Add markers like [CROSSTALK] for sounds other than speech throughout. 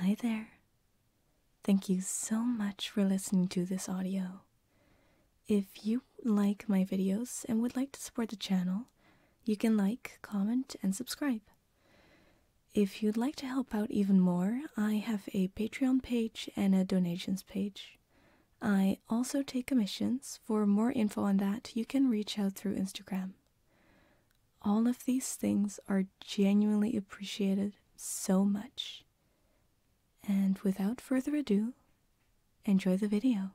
Hi there. Thank you so much for listening to this audio. If you like my videos and would like to support the channel, you can like, comment, and subscribe. If you'd like to help out even more, I have a Patreon page and a donations page. I also take commissions. For more info on that, you can reach out through Instagram. All of these things are genuinely appreciated so much. And without further ado, enjoy the video.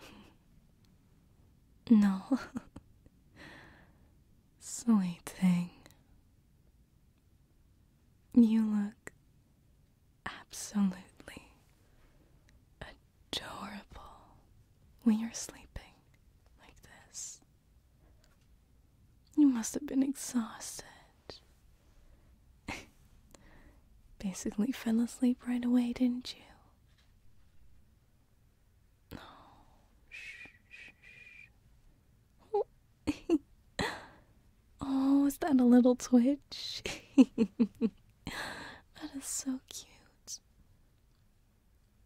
[LAUGHS] no. Silly [LAUGHS] thing. You look absolutely adorable when you're sleeping like this. You must have been exhausted. [LAUGHS] Basically, fell asleep right away, didn't you? Oh, shh, shh, shh. [LAUGHS] oh, is that a little twitch? [LAUGHS] that is so cute.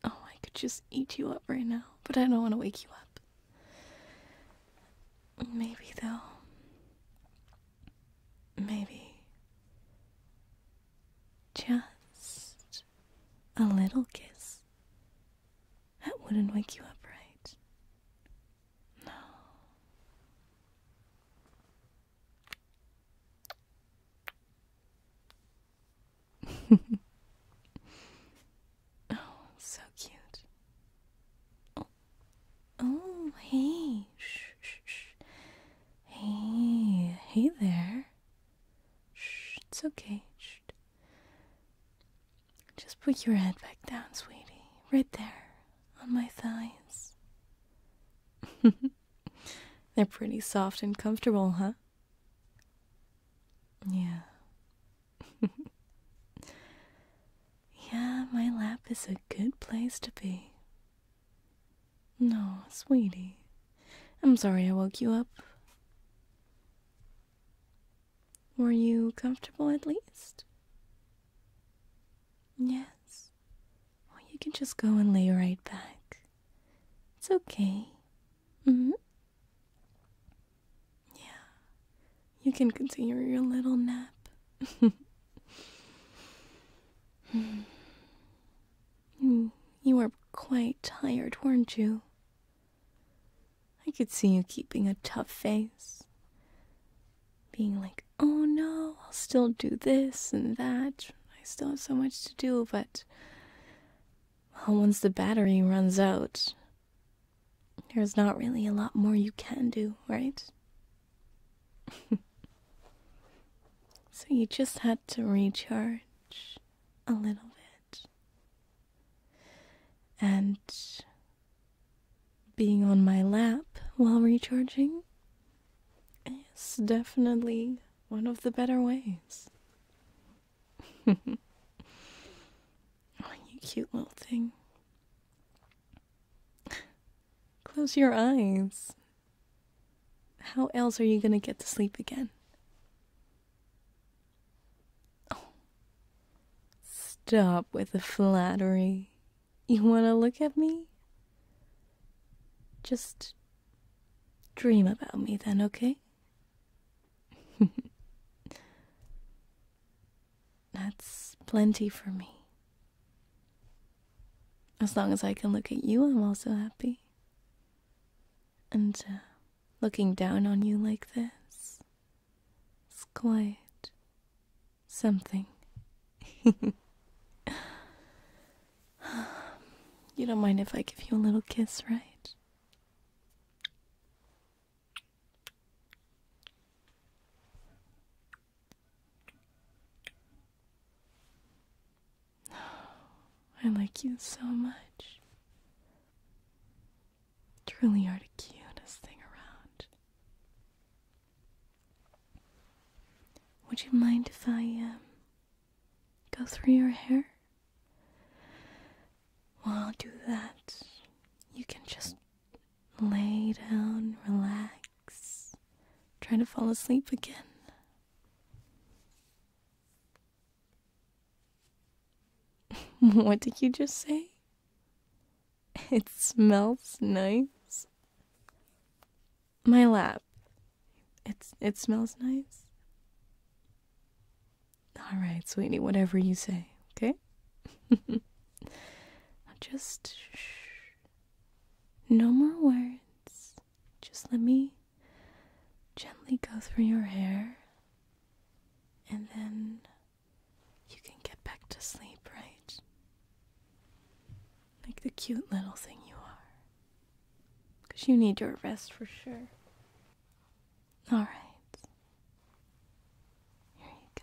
Oh, I could just eat you up right now, but I don't want to wake you up. Maybe, though. Maybe. Just a little kiss. That wouldn't wake you up right. No. [LAUGHS] oh, so cute. Oh, oh hey. Shh, shh, Hey, hey there. Shh, it's okay. Just put your head back down, sweetie, right there on my thighs. [LAUGHS] They're pretty soft and comfortable, huh? Yeah. [LAUGHS] yeah, my lap is a good place to be. No, sweetie. I'm sorry I woke you up. Were you comfortable at least? Yes. Well, you can just go and lay right back. It's okay. Mm-hmm. Yeah. You can continue your little nap. [LAUGHS] Hmm. you were quite tired, weren't you? I could see you keeping a tough face, being like, oh no, I'll still do this and that. I still have so much to do, but once the battery runs out, there's not really a lot more you can do, right? [LAUGHS] so you just had to recharge a little bit and being on my lap while recharging is definitely one of the better ways. [LAUGHS] Oh, you cute little thing. Close your eyes. How else are you going to get to sleep again? Oh. Stop with the flattery. You want to look at me? Just dream about me then, okay? [LAUGHS] That's plenty for me. As long as I can look at you, I'm also happy. And uh, looking down on you like this. It's quite something. [LAUGHS] you don't mind if I give you a little kiss, right? I like you so much. Truly are the cutest thing around. Would you mind if I um, go through your hair? While I'll do that, you can just lay down, relax, try to fall asleep again. [LAUGHS] what did you just say? It smells nice. My lap. It's it smells nice. All right, sweetie, whatever you say, okay? [LAUGHS] just shh. No more words. Just let me gently go through your hair and then you can get back to sleep, right? Like the cute little thing you are. Because you need your rest for sure. Alright. Here you go.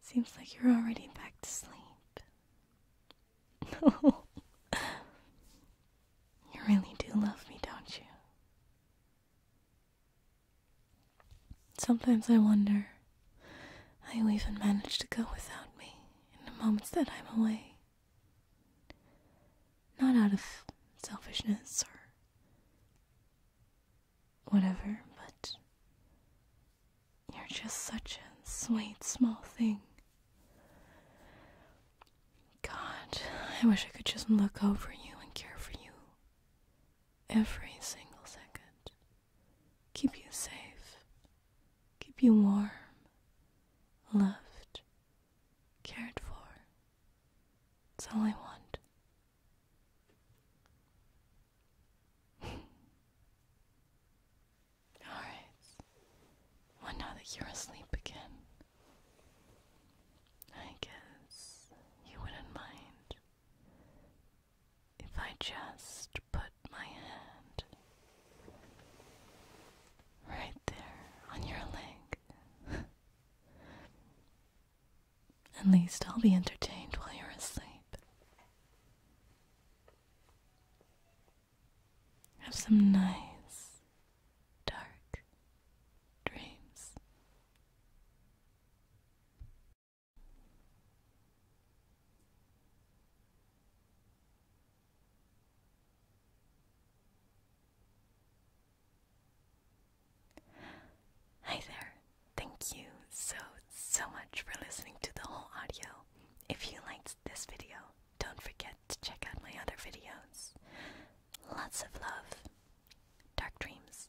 Seems like you're already back to sleep. No. [LAUGHS] you really do love me, don't you? Sometimes I wonder how you even manage to go without me in the moments that I'm away. Not out of selfishness or whatever, but you're just such a sweet small thing. God, I wish I could just look over you and care for you every single second. Keep you safe, keep you warm, loved, cared for. That's all I want. [LAUGHS] Alright. Well, now that you're asleep again, I guess you wouldn't mind if I just put my hand right there on your leg. [LAUGHS] At least I'll be entertained while you're asleep. Have some nice, dark dreams. Hi there. Thank you so, so much for listening to the whole audio. If you liked this video, don't forget to check out my other videos. Lots of love. Dark dreams.